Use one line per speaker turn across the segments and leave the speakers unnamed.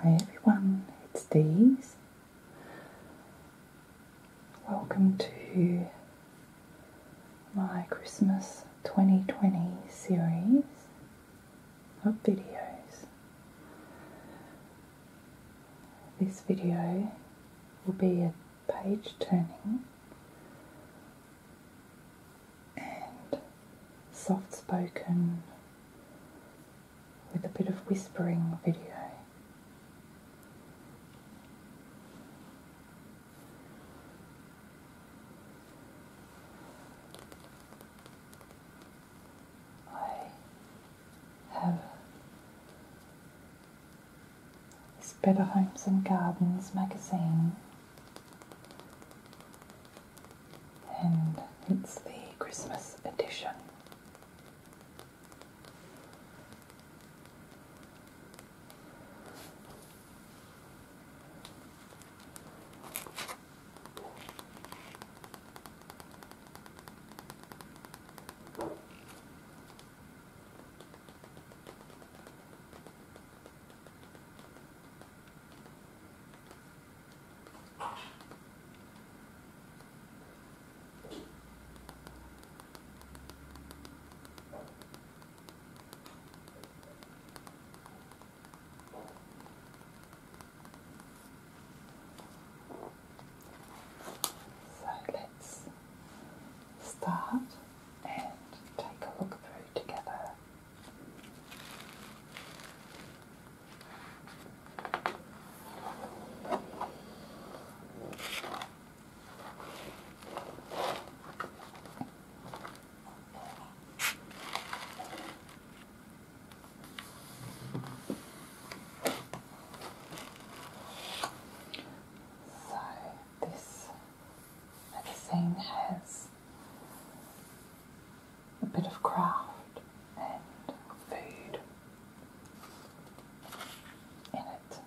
Hi everyone, it's Dee's. Welcome to my Christmas 2020 series of videos. This video will be a page turning and soft spoken with a bit of whispering video. I have it's Better Homes and Gardens magazine, and it's the Christmas edition. So let start and take a look through together. So this magazine has a bit of craft and food in it.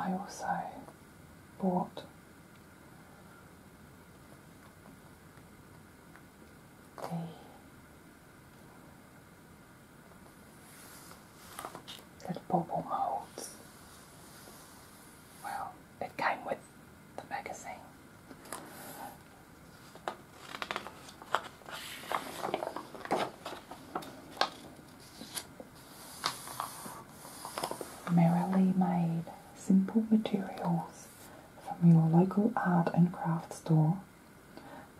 And I also bought Okay. bubble molds. Well, it came with the magazine. Merrily made simple materials from your local art and craft store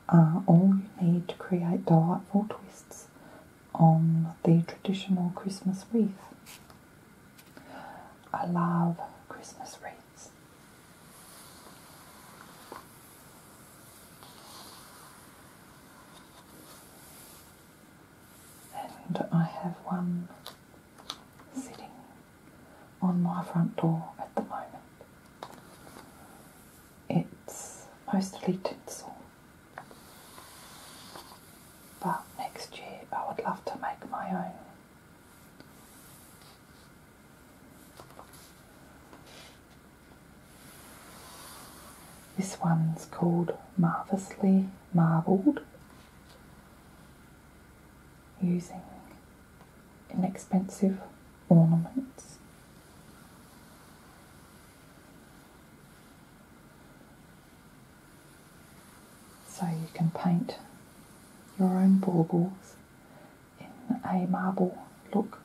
are uh, all you need to create delightful twists on the traditional Christmas wreath. I love Christmas wreaths. And I have one sitting on my front door at the moment. It's mostly tinsel, but next year I would love to make my own. This one's called Marvellously Marbled using inexpensive ornaments. So you can paint your own baubles in a marble look,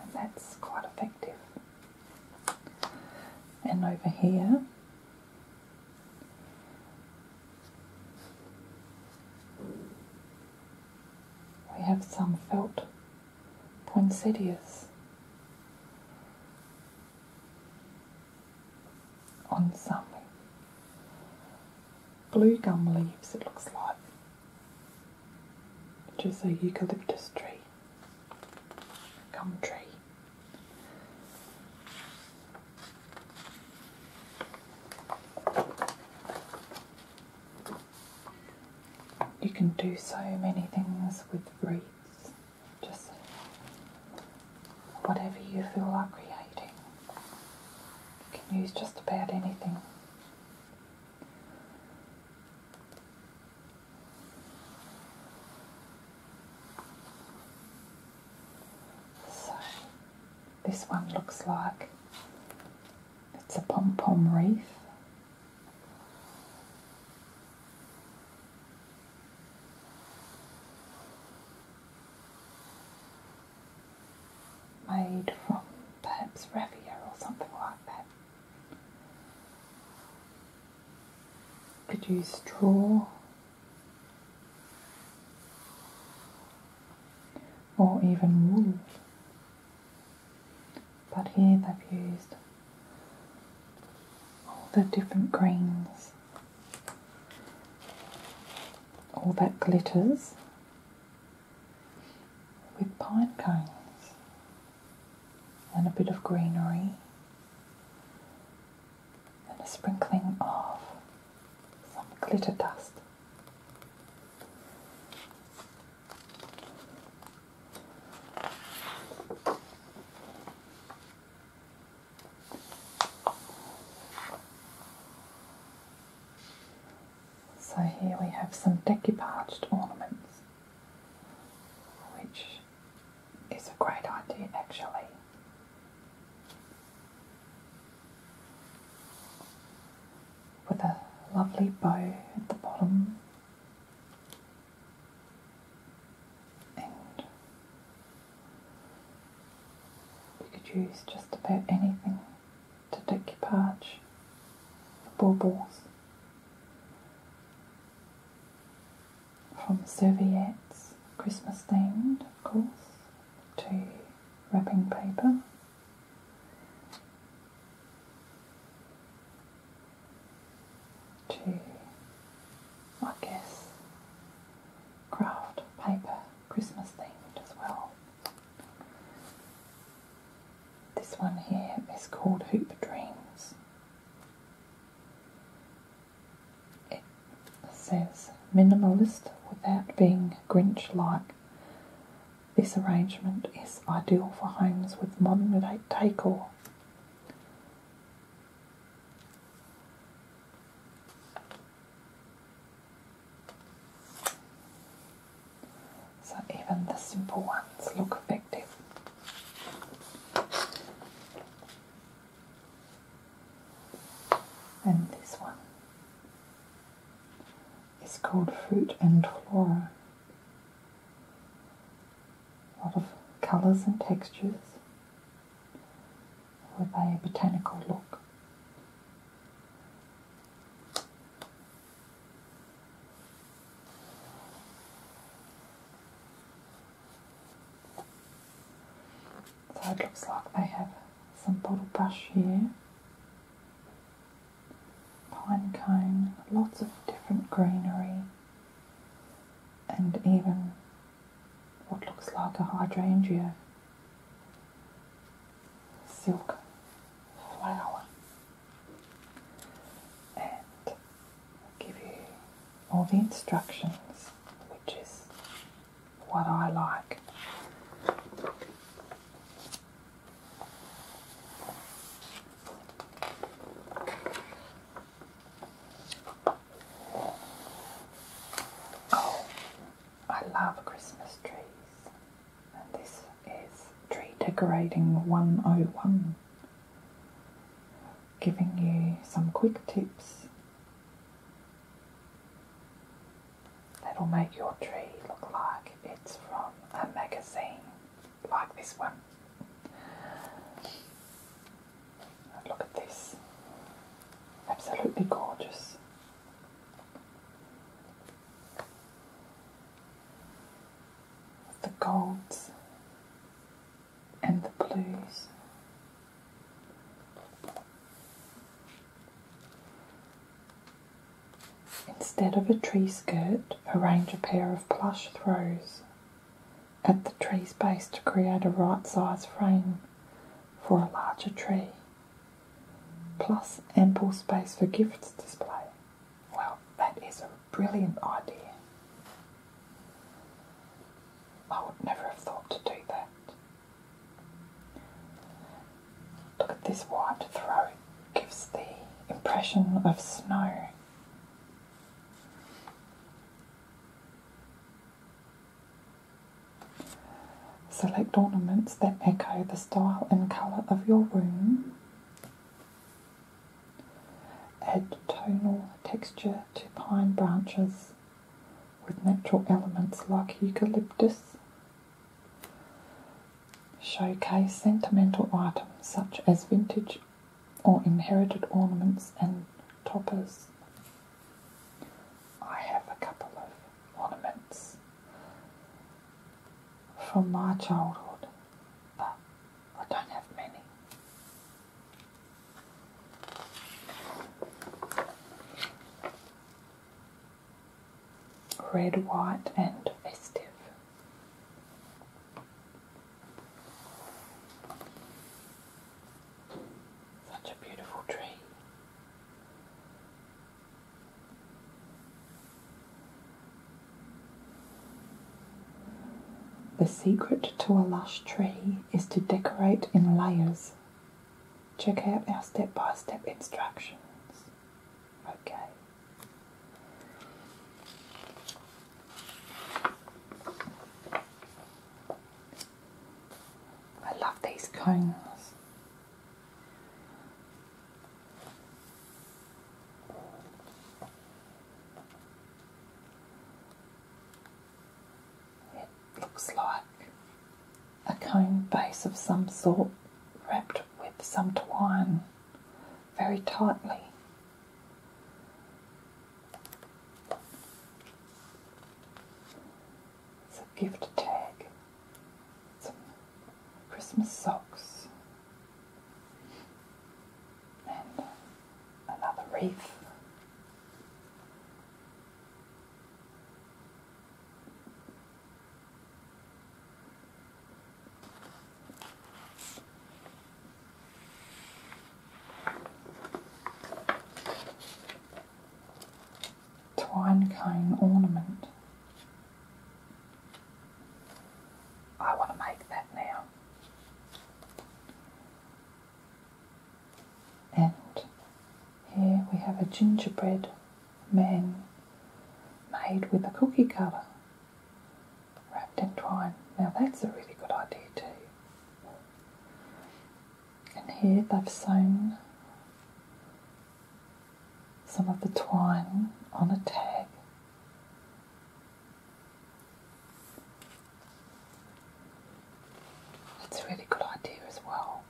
and that's quite effective. And over here we have some felt poinsettias on some blue gum leaves, it looks like, which is a eucalyptus tree, gum tree. You can do so many things with wreaths, just whatever you feel like creating. You can use just about anything. So this one looks like it's a pom-pom wreath. Made from perhaps raffia or something like that. Could use straw or even wool. But here they've used all the different greens, all that glitters with pine cones and a bit of greenery and a sprinkling of some glitter dust. So here we have some decoupaged ornaments which is a great idea actually. With a lovely bow at the bottom and you could use just about anything to decorate your parch, baubles from serviettes, Christmas themed of course, to wrapping paper. To, I guess, craft paper, Christmas themed as well. This one here is called Hoop Dreams it says minimalist without being Grinch like. This arrangement is ideal for homes with modern decor. So even the simple ones look effective. And this one is called Fruit and Flora. A lot of colours and textures with a botanical look. So it looks like they have some bottle brush here, pine cone, lots of different greenery, and even what looks like a hydrangea silk flower. And give you all the instructions, which is what I like. Oh, I love Christmas trees, and this is Tree Decorating 101, giving you some quick tips That'll make your tree look like it's from a magazine, like this one. Look at this. Absolutely gorgeous. the golds and the blues. Instead of a tree skirt, arrange a pair of plush throws at the tree's base to create a right size frame for a larger tree, plus ample space for gifts display. Well, that is a brilliant idea. I would never have thought to do that. Look at this white throat, gives the impression of snow. Select ornaments that echo the style and colour of your room. Add tonal texture to pine branches with natural elements like eucalyptus, showcase sentimental items such as vintage or inherited ornaments and toppers. I have a couple of ornaments from my childhood, but I don't have many red, white, and festive. Such a beautiful tree. The secret to a lush tree is to decorate in layers Check out our step by step instructions. Okay. I love these cones. It looks like a cone base of some sort wrapped with some twine very tightly. It's a gift tag, some Christmas socks, and another wreath. Twine cone ornament. I want to make that now. And here we have a gingerbread man made with a cookie cutter wrapped in twine. Now that's a really good idea too. And here they've sewn some of the twine on a tag. That's a really good idea as well.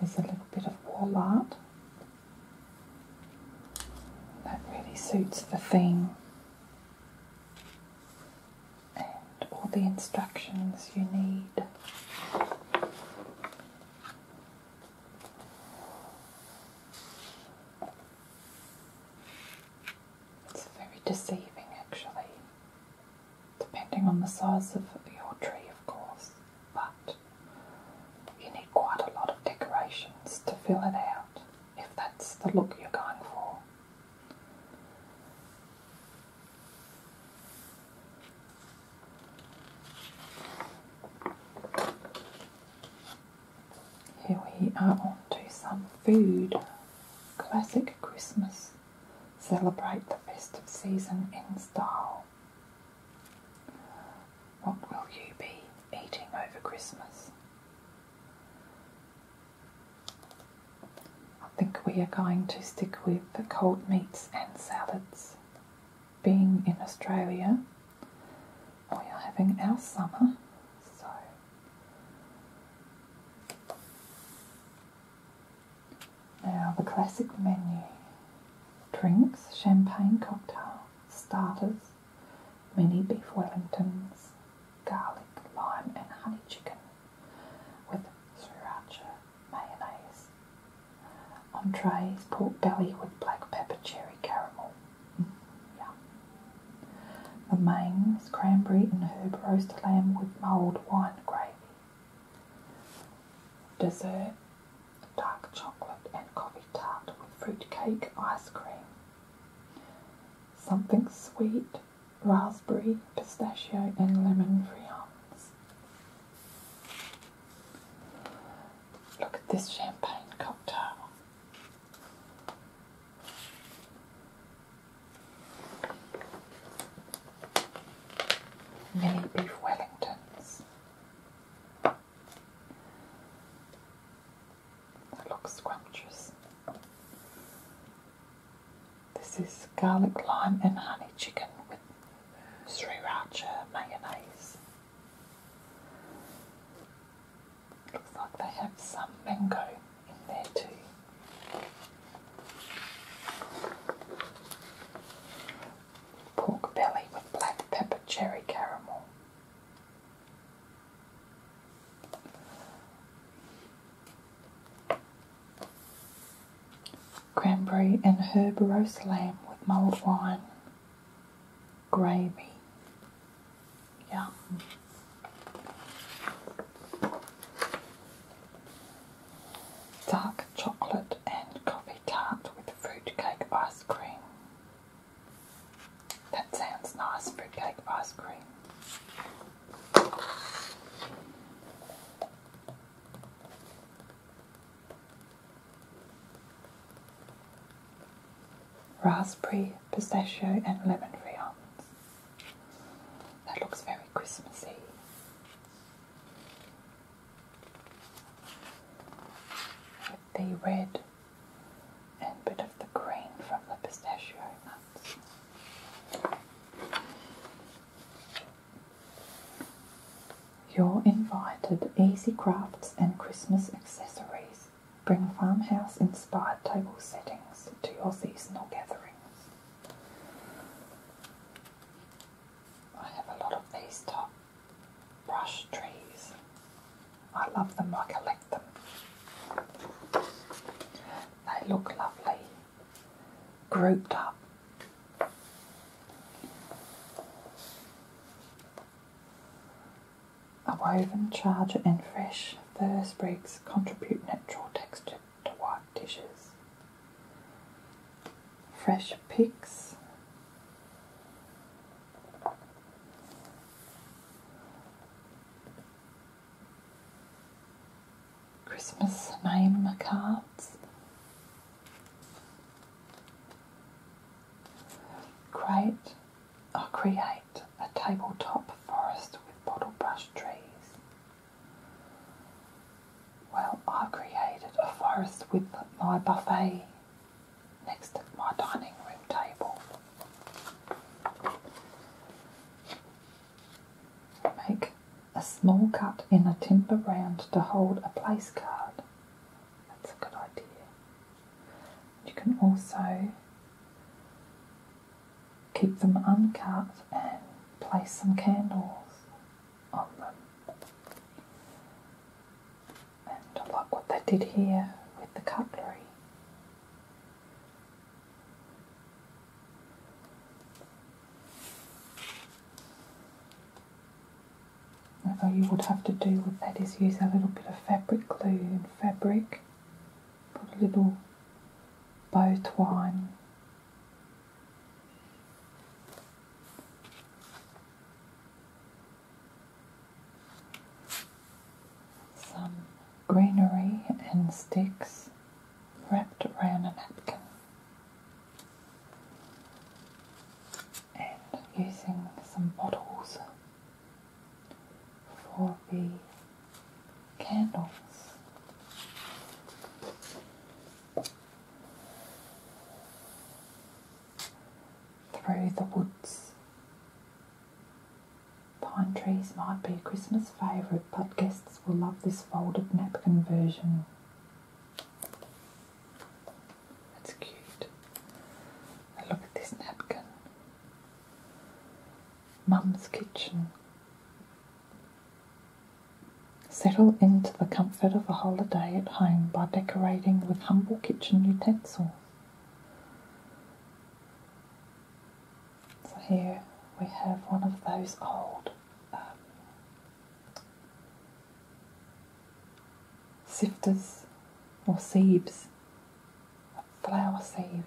Here's a little bit of wall art. That really suits the theme and all the instructions you need. It's very deceiving, actually, depending on the size of your tree, of course, but you need quite a lot of decorations to fill it out if that's the look you're going for. Here we are on to some food. Classic Christmas. Celebrate the festive season in style. What will you be eating over Christmas? I think we are going to stick with the cold meats and salads being in Australia, we are having our summer. So, now the classic menu drinks, champagne cocktail, starters, mini beef Wellingtons, garlic, lime, and honey chicken with sriracha mayonnaise. Entrees, pork belly with black pepper cherry caramel. Mm, The main is cranberry and herb roast lamb with mulled wine gravy. Dessert, dark chocolate and coffee tart with fruit cake ice cream. Something sweet, raspberry, pistachio and lemon friands. Look at this champagne cocktail. Mini beef Wellingtons. That looks scrumptious. This is garlic, lime, and honey chicken with sriracha mayonnaise. Looks like they have some mango in there too. Pork belly with black pepper cherry caramel cranberry and herb roast lamb with mulled wine. Gravy. Yum. Dark chocolate and coffee tart with fruit cake ice cream. That sounds nice, cake ice cream raspberry, pistachio, and lemon friands. That looks very Christmassy. the red and bit of the green from the pistachio nuts. Your invited easy crafts and Christmas accessories. Bring farmhouse inspired table settings to your seasonal gatherings. I have a lot of these top brush trees. I love them, I collect them. They look lovely grouped up a woven charger and fresh fur sprigs contribute natural texture to white dishes. Fresh picks Christmas name cards Create or uh, create a tabletop forest with bottle brush trees. Well, I created a forest with my buffet next to my dining room table. Make a small cut in a timber round to hold a place card that's a good idea. You can also keep them uncut and place some candles on them. And like what they did here with the cutlery. Although you would have to do with that is use a little bit of fabric glue and fabric, put a little bow twine some greenery and sticks wrapped around a napkin and using some bottles for the candles. Through the woods. Pine trees might be a Christmas favourite, but guests will love this folded napkin version. That's cute. And look at this napkin. Mum's kitchen. Settle into the comfort of a holiday at home by decorating with humble kitchen utensils. So here we have one of those old um, sifters or sieves, a flour sieve.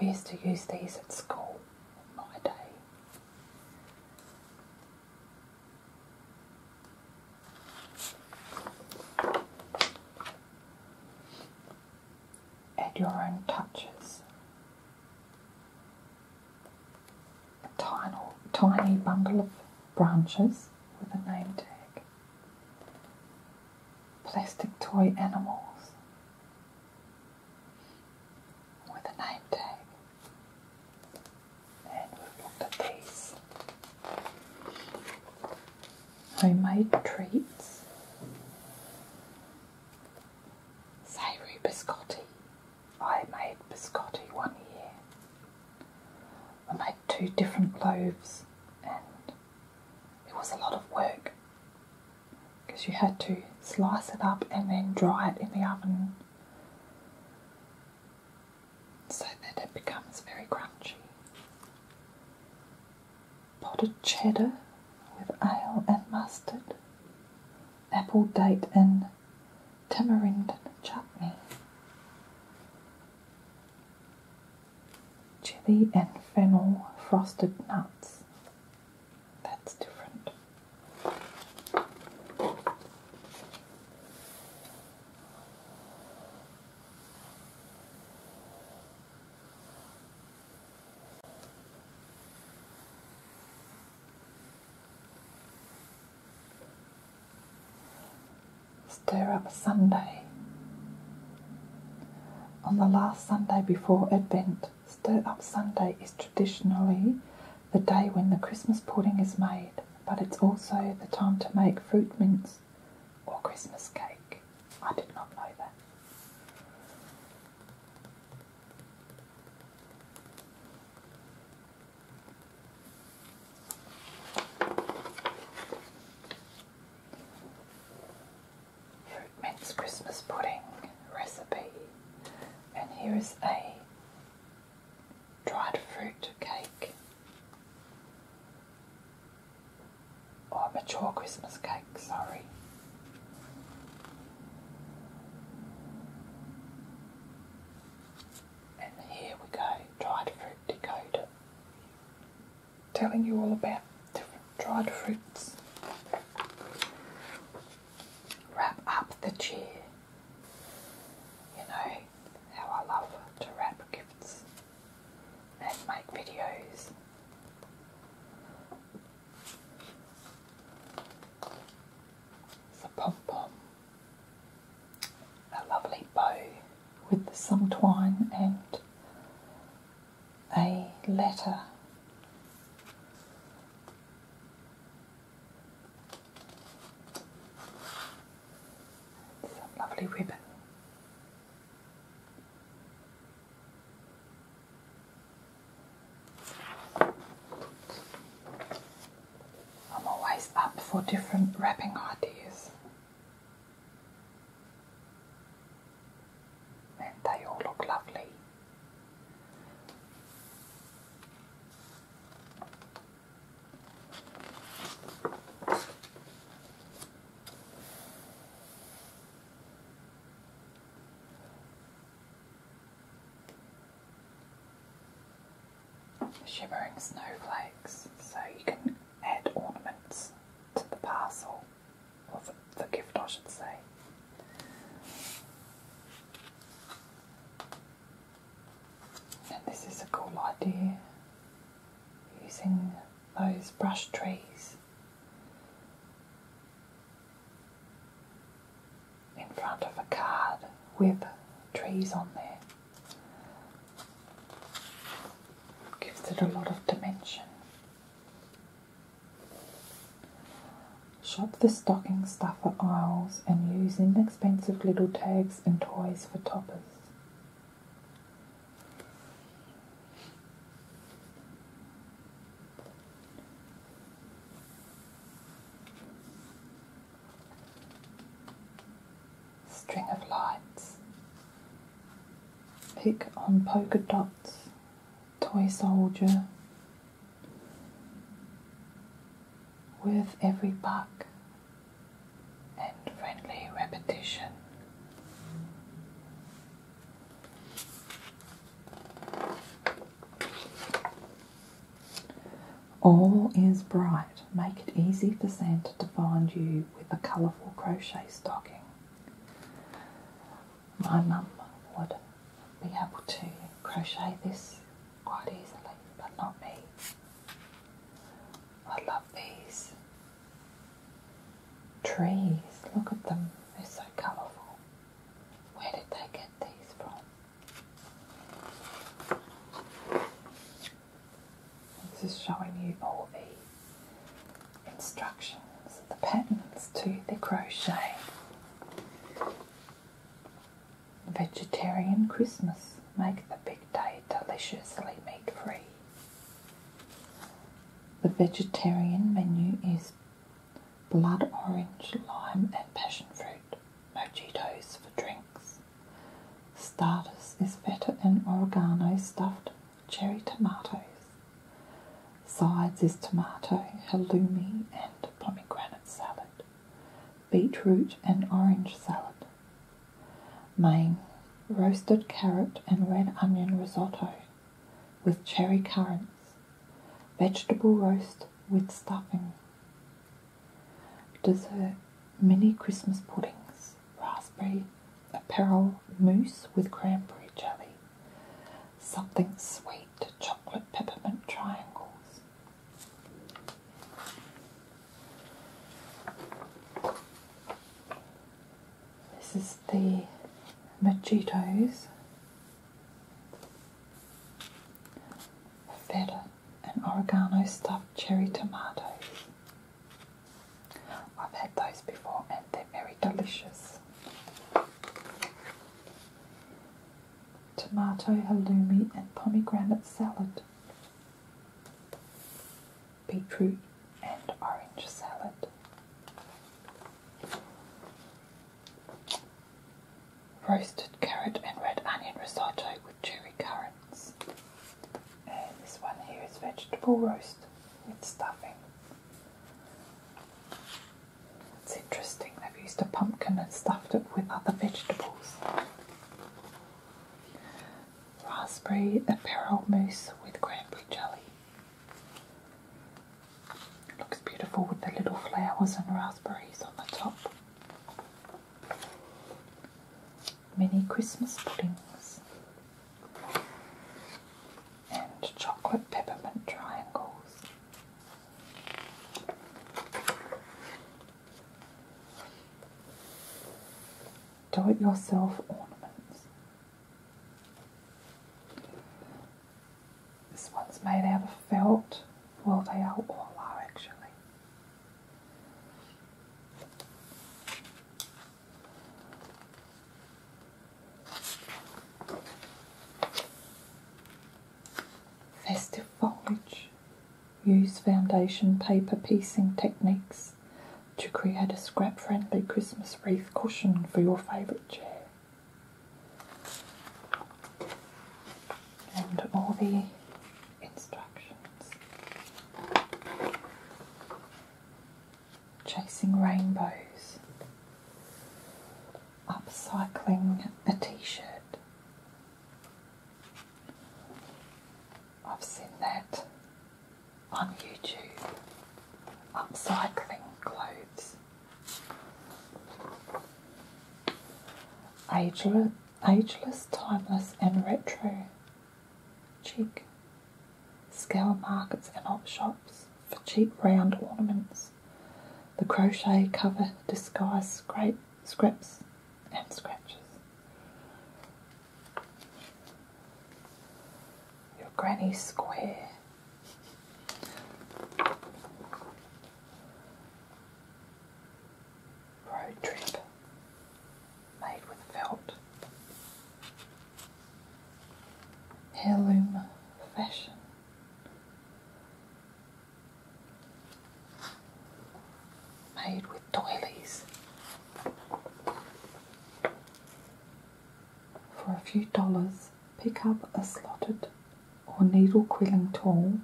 We used to use these at school in my day. Add your own touches tiny, tiny bundle of branches with a name tag, plastic toy animals with a name tag, and we've looked at these homemade treats, savoury biscotti. I made biscotti one year. I made two different loaves and it was a lot of work because you had to slice it up and then dry it in the oven so that it becomes very crunchy. Potted cheddar with ale and mustard, apple, date, and tamarind chutney, chili and fennel frosted nuts. That's different. Stir up Sunday. On the last Sunday before Advent, Stir Up Sunday is traditionally the day when the Christmas pudding is made, but it's also the time to make fruit mince or Christmas cake. I did not know that. Fruit mince Christmas pudding recipe, and here is a dried fruit cake or mature Christmas cake, sorry. And here we go, dried fruit decoder. Telling you all about different dried fruits. Wrap up the chair. You know how I love to wrap gifts and make videos. It's pom pom a lovely bow with some twine and a letter. Some lovely ribbon. I'm always up for different wrapping ideas. And they all look lovely shimmering snowflakes, so you can add ornaments to the parcel, or the, gift I should say. And this is a cool idea, using those brush trees in front of a card with trees on there. Gives it a lot of dimension. Shop the stocking stuffer aisles and use inexpensive little tags and toys for toppers. String of lights. Pick on polka dots. Toy soldier. worth every buck and friendly repetition. All is bright. Make it easy for Santa to find you with a colourful crochet stocking. My mum would be able to crochet this quite easily, but not me. I love these trees. Look at them, they're so colourful. Where did they get these from? This is showing you all the instructions, the patterns to the crochet. Vegetarian Christmas. Make the big day deliciously meat free. The vegetarian menu is blood orange, lime, and passion fruit. Mojitos for drinks. Stardust is better in oregano stuffed cherry tomatoes. Sides is tomato, halloumi, and pomegranate salad, beetroot and orange salad. Main roasted carrot and red onion risotto with cherry currants, vegetable roast with stuffing. Dessert mini Christmas puddings, raspberry apparel mousse with cranberry jelly, something sweet, chocolate peppermint triangles. This is the Machitos. Feta and oregano stuffed cherry tomatoes. I've had those before and they're very delicious. Tomato halloumi and pomegranate salad. Beetroot and orange salad. Roasted carrot and red onion risotto with cherry currants this one here is vegetable roast with stuffing. interesting, they've used a pumpkin and stuffed it with other vegetables. Raspberry apparel mousse with cranberry jelly. looks beautiful with the little flowers and raspberries on the top. Many Christmas puddings and chocolate peppermint triangles. Do it yourself ornaments. This one's made out of felt. Well, they are all are actually. Festive foliage. Use foundation paper piecing techniques to create a scrap friendly Christmas wreath cushion for your favourite chair and all the instructions. Chasing rainbows, upcycling a t shirt. I've seen that on YouTube, upcycling clothes. Ageless, ageless, timeless, and retro. Cheap scale markets and op shops for cheap round ornaments. The crochet cover disguise great scraps and scratches. Your granny square. Road trip made with felt. Heirloom fashion. Made with doilies for a few dollars. Pick up a slotted or needle quilling tool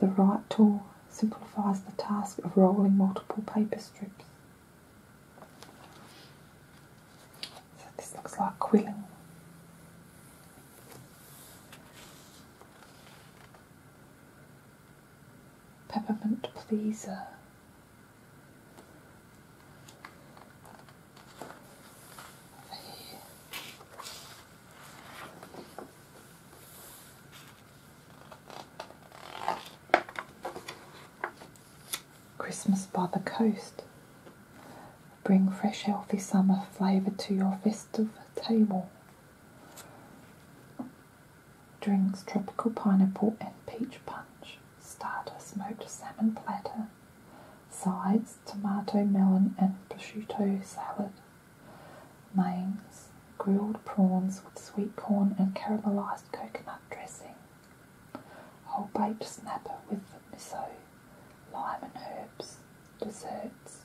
the right tool simplifies the task of rolling multiple paper strips. So this looks like quilling. Peppermint pleaser. Christmas by the coast. Bring fresh, healthy summer flavour to your festive table. Drinks tropical pineapple and peach punch. Start a smoked salmon platter. Sides tomato, melon, and prosciutto salad. Maines grilled prawns with sweet corn and caramelized coconut dressing, whole baked snapper with miso, lime and herbs, desserts,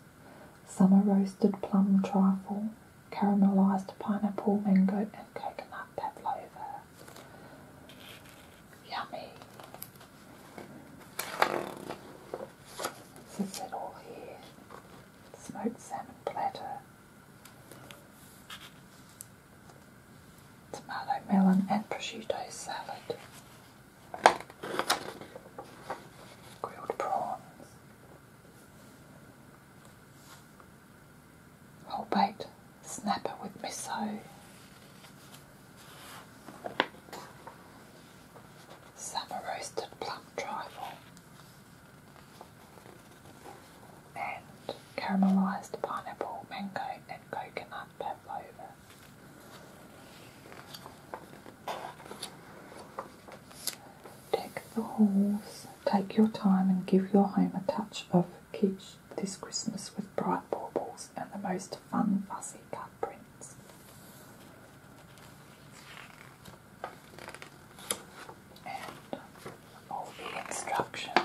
summer roasted plum trifle, caramelized pineapple, mango and coconut pavlova. Yummy. is it all here smoked salmon platter, tomato melon and prosciutto salad, grilled prawns, whole baked snapper with miso summer roasted plum trifle, and caramelised pineapple, mango, and coconut pavlova. Deck the halls, take your time and give your home a touch of kitsch this Christmas with bright baubles and the most fun fuzzy cut prints and all the instructions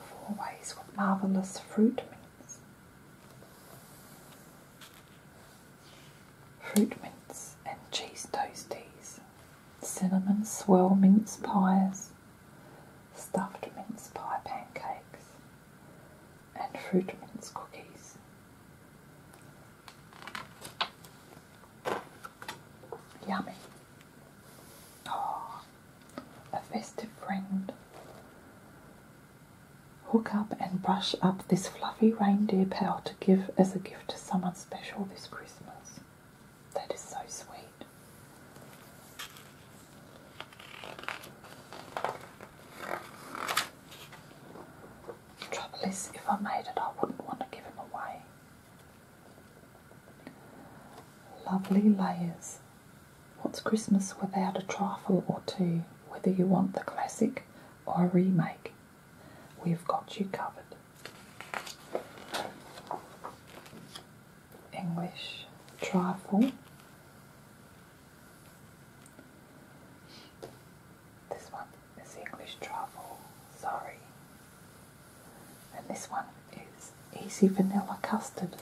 four ways marvelous fruit mints fruit mints and cheese toasties cinnamon swirl mince pies stuffed mince pie pancakes and fruit cookies. Yummy. Oh, a festive friend. Hook up and brush up this fluffy reindeer pal to give as a gift to someone special this Christmas. That is so sweet. The trouble is, if I made it, I wouldn't want to give him away. Lovely layers. What's Christmas without a trifle or two? Whether you want the classic or a remake, we've got you covered. English trifle. This one is English truffle, sorry. And this one is easy vanilla custard.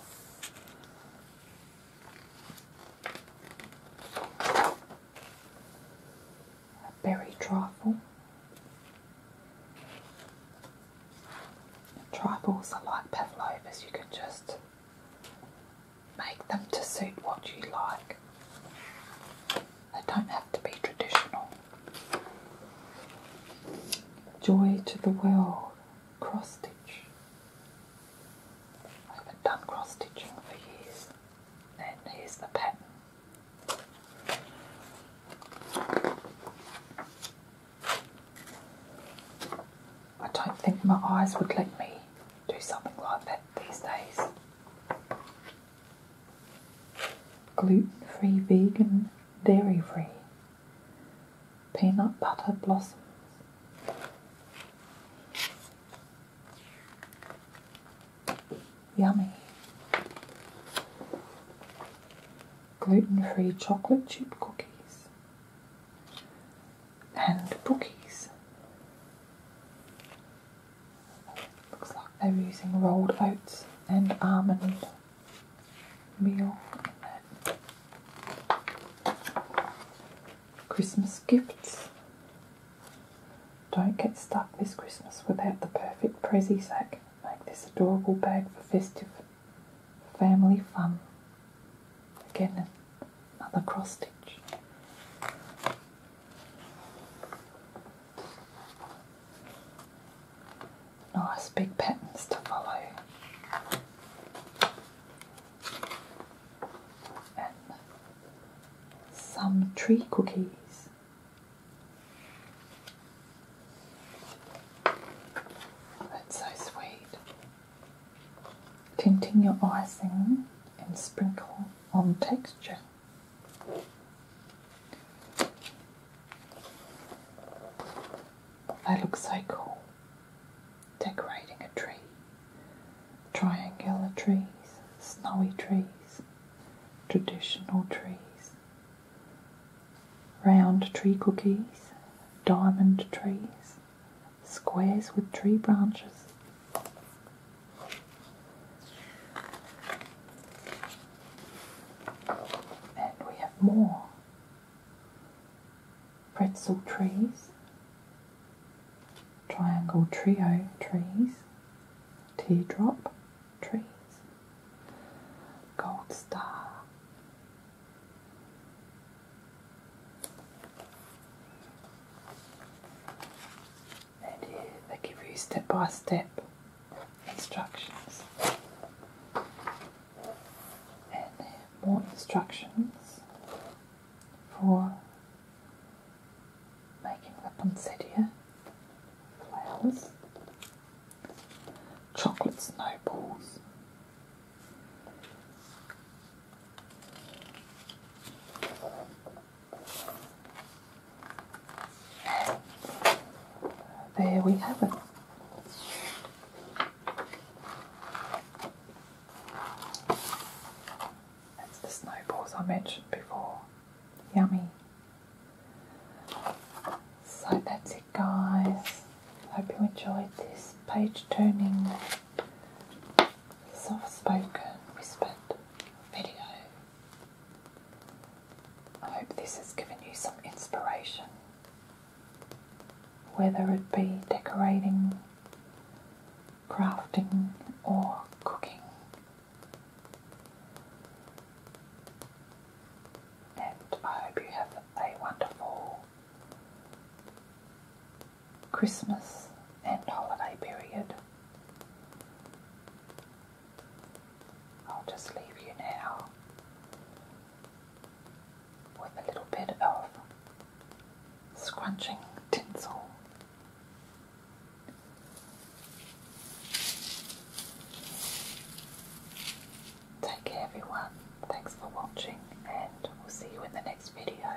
A berry trifle. Trifles are like pavlovas, you can just Make them to suit what you like. They don't have to be traditional. Joy to the world, cross stitch. I have done cross stitching for years. And here's the pattern. I don't think my eyes would let me do something like that these days. Gluten free, vegan, dairy free, peanut butter blossoms. Yummy. Gluten free chocolate chip cookies and bookies. Looks like they were using rolled oats and almond meal Christmas gifts. Don't get stuck this Christmas without the perfect Prezi sack. Make this adorable bag for festive family fun. Again, another cross stitch. Nice big patterns to follow. And some tree cookies. That's so sweet. Tinting your icing and sprinkle on texture. That looks so cool. Decorating a tree. Triangular trees, snowy trees, traditional trees, round tree cookies, diamond trees, squares with tree branches. And we have more pretzel trees, triangle trio trees, teardrop trees, gold star, they do, they give you step by step instructions. And more instructions for making the poinsettia flowers, chocolate snowballs, there we have it. That's the snowballs I mentioned before. Yummy. So that's it, guys. Hope you enjoyed this page turning soft spoken whispered video. I hope this has given you some inspiration, whether it be decorating, crafting, or cooking. And I hope you have a wonderful Christmas and holiday period. I'll just leave you now with a little bit of scrunching tinsel. Take care everyone, thanks for watching and we'll see you in the next video.